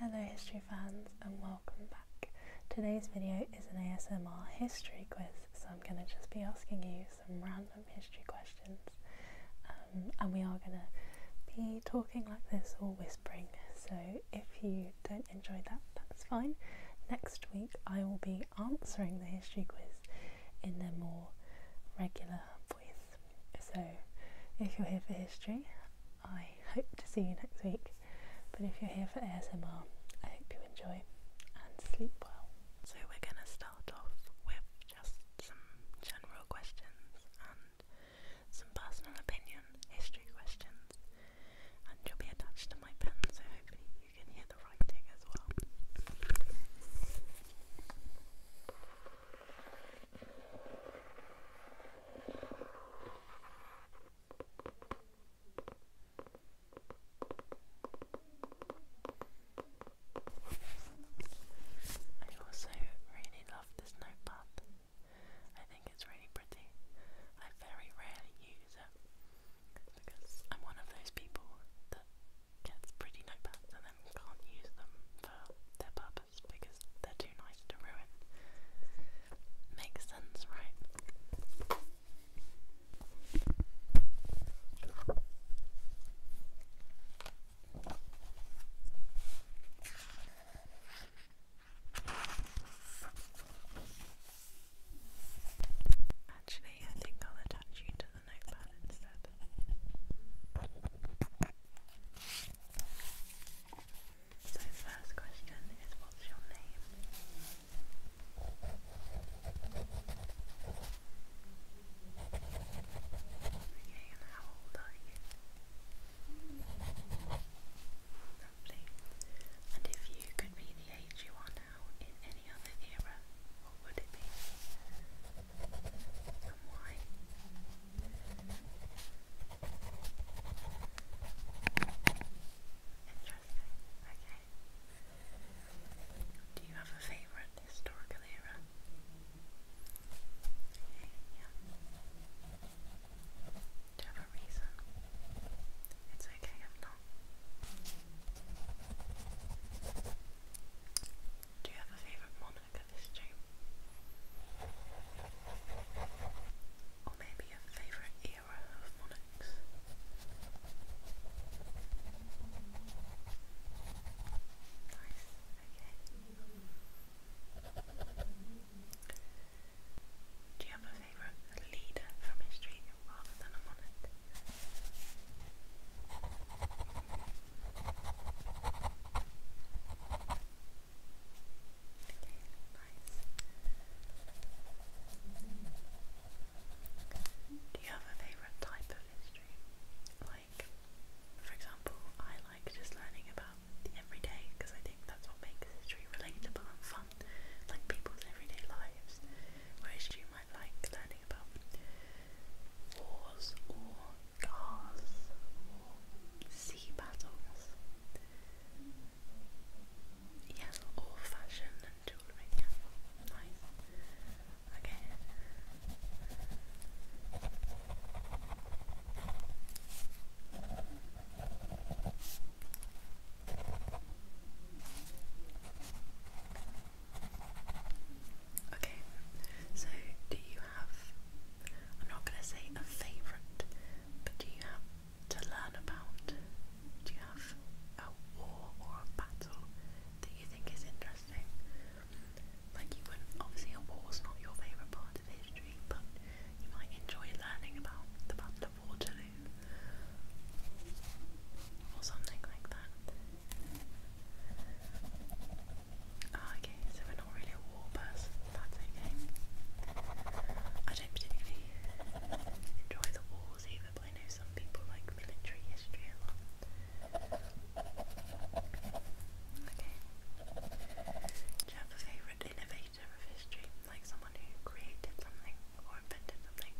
Hello history fans and welcome back. Today's video is an ASMR history quiz so I'm going to just be asking you some random history questions um, and we are going to be talking like this or whispering so if you don't enjoy that that's fine. Next week I will be answering the history quiz in a more regular voice so if you're here for history I hope to see you next week. But if you're here for ASMR, I hope you enjoy and sleep well. So, we're going to start off with just some general questions and some personal opinion history questions. And you'll be attached to my pen, so hopefully you can hear the writing as well. I also really love this notepad. I think it's really pretty. I very rarely use it because I'm one of those people that gets pretty notepads and then can't use them for their purpose campus because they're too nice to ruin. Makes sense, right? Actually, I think I'll attach you to the notepad instead. So first question is what's your name? and how old are you? And if you could be the age you are now in any other era, what would it be? And why? Okay. Do you have a favourite historical era? Do you have a reason? It's okay if not. Do you have a favourite monarch of this or maybe a favourite era of phonics. Do you have a favourite leader from history rather than a monarch? Do you have a favourite type of history? Like, for example, I like just learning about the everyday because I think that's what makes history relatable and fun, like people's everyday lives. Whereas you might like learning about wars or cars or sea battles. Yeah, all fashion and jewellery. Yeah, nice. Okay. Okay, so do you have, I'm not going to say a favourite, but do you have to learn about? Do you have a war or a battle that you think is interesting? Like you would obviously a war's not your favourite part of history, but you might enjoy learning about the Battle of Waterloo or something like that. Ah, okay, so not really a war person, that's okay. I don't particularly enjoy the wars either, but I know some people like military history a lot. Okay. Do you have a favourite innovator of history? Like someone who created something or invented something?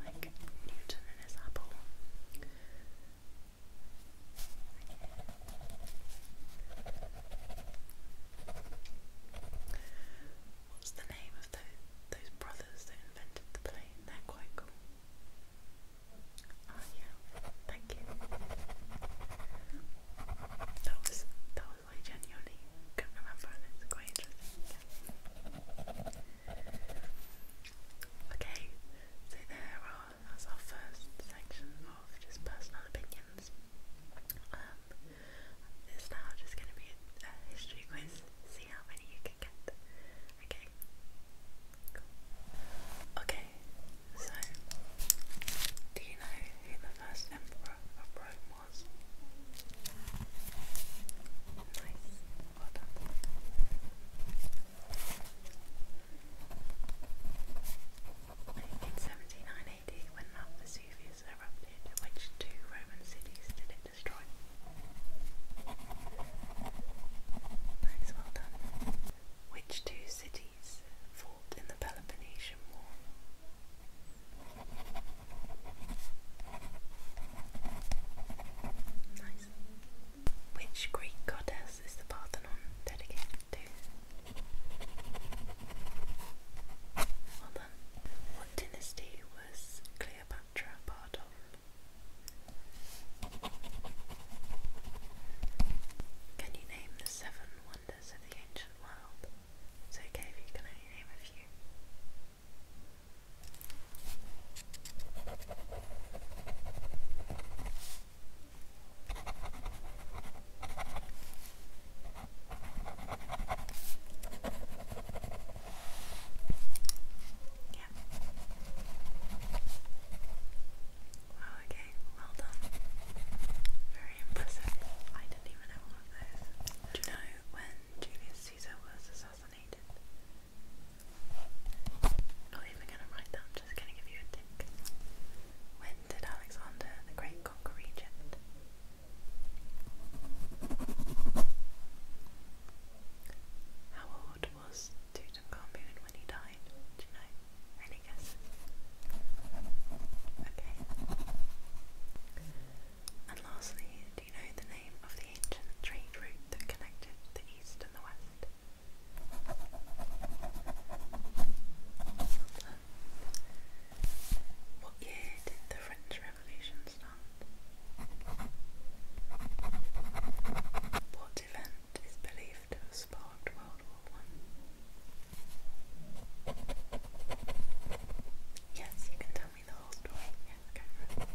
Like Newton and his apple? What's the name of those those brothers that invented the plane? They're quite cool. Oh yeah, thank you. That was that was I genuinely couldn't remember it's quite interesting. Okay, so there that's our first section of just personal opinions. Um, it's now just going to be a, history quiz, see how many you can get. Okay? Okay, so, do you know who the first emperor of Rome was? Nice, well in 79 when Mount Vesuvius erupted, which two Roman cities did it destroy? Nice, well done. Which two cities fought in the Peloponnesian War? Nice. Which Greek goddess is the Parthenon dedicated to? Well then, what dynasty was Cleopatra part of? Can you name the seven wonders of the ancient world? It's okay if you name a few. Yeah. Wow, okay, well done. Very impressive. I didn't even know all of those. Do you know when Julius Caesar was assassinated? Not even gonna write that, just gonna give you a tick. When did Alexander the Great conquer Egypt? How old was Tutankhamun when he died? Do you know? Any guesses? Okay. And lastly, do you know the name of the ancient trade route that connected the east and the west? What year did the French Revolution start? What event is believed to have sparked World War One? Yes, you can tell me the whole story. Yeah, okay.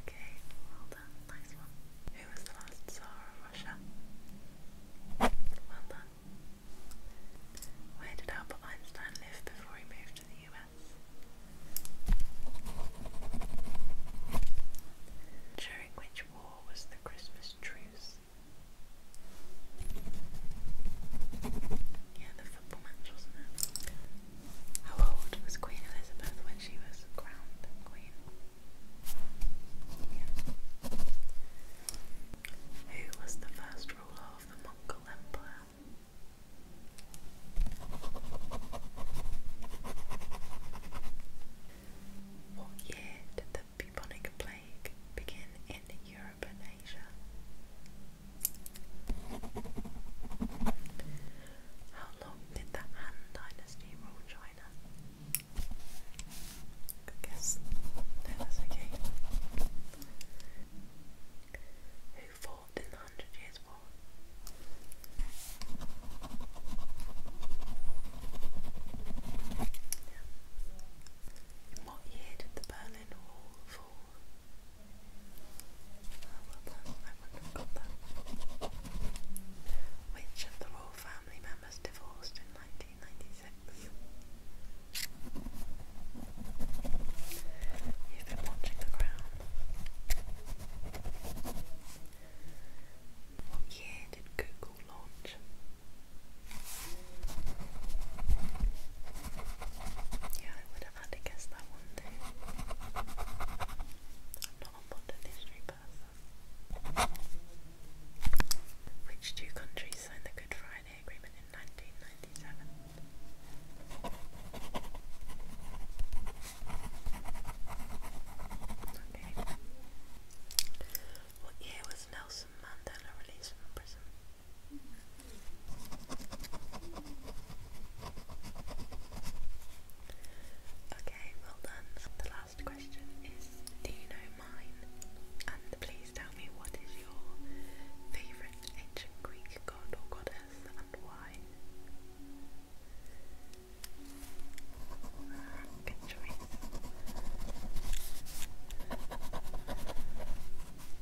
Okay, well done. Nice one. Who was the last Tsar of Russia? Well done. Where did Albert Einstein live before he moved to the US? During which war was the Christmas truce? Yeah, how old was Queen Elizabeth when she was crowned Queen? Who was the first ruler of the Mongol Empire? What year did the bubonic plague begin in Europe and Asia. How long did the Han Dynasty rule China? Good guess. No, that's okay. Who fought in the Hundred Years' War? Yeah. In what year did the Berlin Wall fall? Which of the royal family members divorced in 1996? You've been watching The Crown. What year did Google launch? Yeah, I would have had to guess that one too. I'm not a modern history person. Which two countries signed the Good Friday Agreement in 1997? Okay. What year was Nelson Mandela released from prison? Okay, well done. The last question is Do you know mine? And please tell me what is your favourite ancient Greek god or goddess and why? Good choice.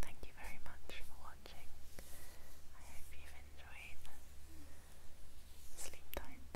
Thank you very much for watching. I hope you've enjoyed. Sleep tight.